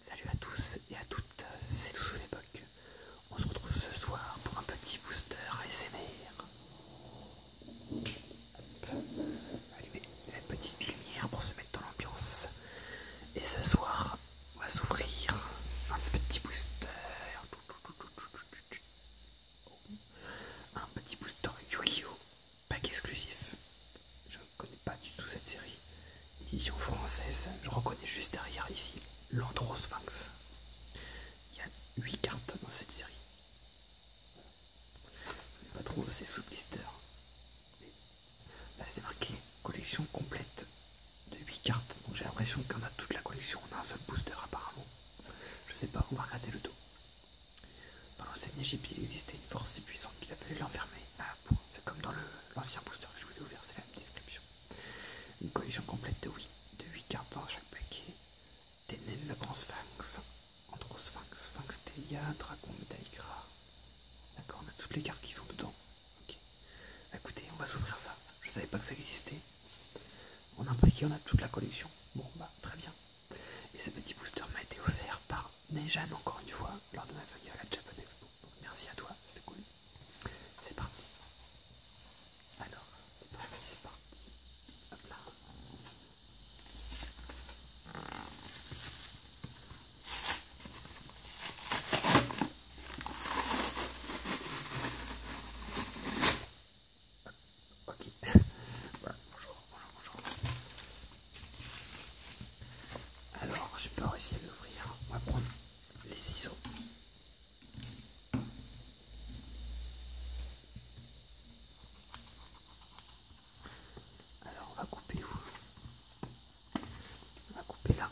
Salut à tous et à toutes, c'est Toussou l'époque. On se retrouve ce soir pour un petit booster ASMR. SMR. allumez la petite lumière pour se mettre dans l'ambiance. Et ce soir, on va s'ouvrir un petit booster. Un petit booster Yu-Gi-Oh! pack exclusif. Je ne connais pas du tout cette série. Édition française, je reconnais juste derrière ici l'Androsphinx. Il y a 8 cartes dans cette série. je ne Pas trouver ces sous blister. Là, c'est marqué collection complète de 8 cartes. Donc j'ai l'impression qu'on a toute la collection. On a un seul booster apparemment. Je ne sais pas, on va regarder le dos. Dans l'ancienne Égypte, il existait une force si puissante qu'il a fallu l'enfermer Ah bon, C'est comme dans l'ancien booster que je vous ai ouvert, c'est la même description. Une collision complète de 8, de cartes dans chaque paquet. Ténène, le grand sphinx, Androsphinx, Sphinx, Telia, Dragon, Médaïgra. D'accord, on a toutes les cartes qui sont dedans. Ok. Écoutez, on va s'ouvrir ça. Je savais pas que ça existait. On a pris qui a toute la collection. Bon, bah, très bien. Et ce petit booster m'a été offert par Nejan, encore une fois, lors de ma venue à la Japan Expo. merci à toi, c'est cool. C'est parti. Alors, c'est parti, c'est parti. Hop là. Ok. bonjour, bonjour, bonjour. Alors, j'ai peur d'essayer à l'ouvrir. On va prendre les ciseaux. Alors, on va couper où On va couper là.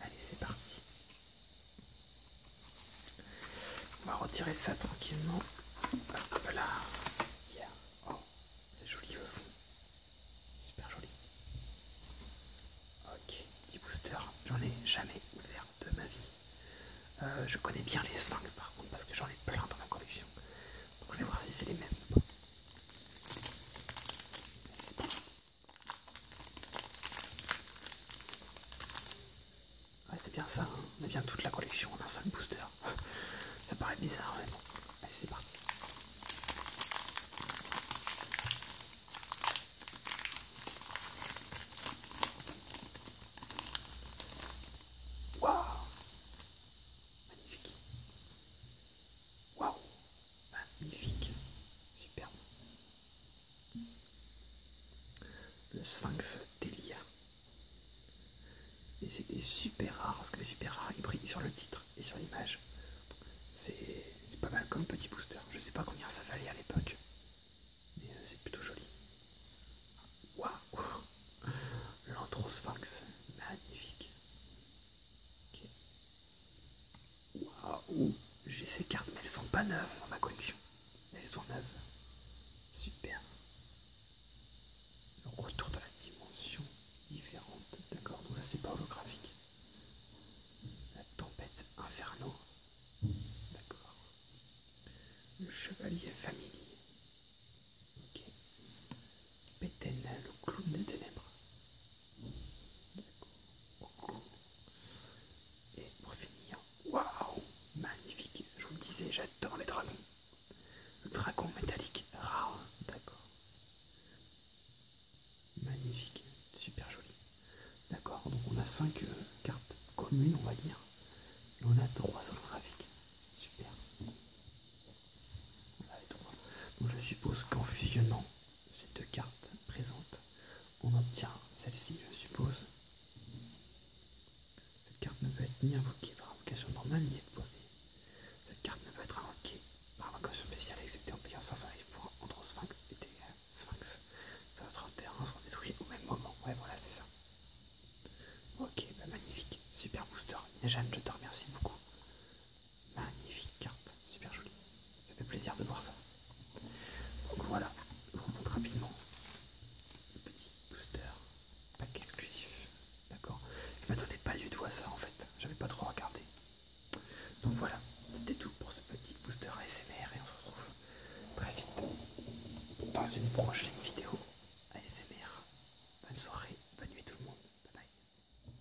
Allez, c'est parti. On va retirer ça tranquillement. Hop là. Oh, c'est joli le fond. Super joli. Ok, petit booster. J'en ai jamais ouvert de ma vie. Euh, je connais bien les sphinx par contre parce que j'en ai plein dans ma collection. Donc je vais voir si c'est les mêmes ou C'est parti. c'est bien ça, hein. on a bien toute la collection en un seul booster. ça paraît bizarre, mais bon. Allez, c'est parti. Waouh Magnifique. Waouh Magnifique. Superbe. Le sphinx d'Elia et c'était super rare, parce que les super rares, ils brillent sur le titre et sur l'image. C'est pas mal comme petit booster. Je sais pas combien ça valait à l'époque. Mais euh, c'est plutôt joli. Waouh L'anthrosphinx. Magnifique. Waouh J'ai ces cartes, mais elles sont pas neuves dans ma collection. Elles sont neuves. Super le retour dans la dimension différente, d'accord Donc ça c'est pas holographique. La tempête inferno, d'accord. Le chevalier familier, ok. Pétain, le clown des ténèbres, d'accord. Et pour finir, waouh, magnifique, je vous le disais, j'adore les dragons. Le dragon métallique rare, d'accord. Magnifique, super joli. D'accord, donc on a 5 euh, cartes communes, on va dire. Et on a 3 holographiques. Super. On a Donc je suppose qu'en fusionnant ces deux cartes présentes, on obtient celle-ci, je suppose. Cette carte ne peut être ni invoquée par invocation normale ni exposée. Cette carte ne peut être invoquée par invocation spéciale excepté en payant 500 livres pour entre sphinx et des euh, sphinx. Votre terrain sont détruit au même moment. Ouais, voilà, c'est ça. Ok, bah magnifique. Super booster. Nijan, je te remercie beaucoup. Magnifique carte. Super jolie. Ça fait plaisir de voir ça. Donc voilà, je vous remonte rapidement le petit booster pack exclusif. D'accord Je m'attendais pas du tout à ça en fait, j'avais pas trop regardé. Donc voilà, c'était tout pour ce petit booster ASMR et on se retrouve très vite dans une prochaine vidéo ASMR. Bonne soirée, bonne nuit tout le monde. Bye bye.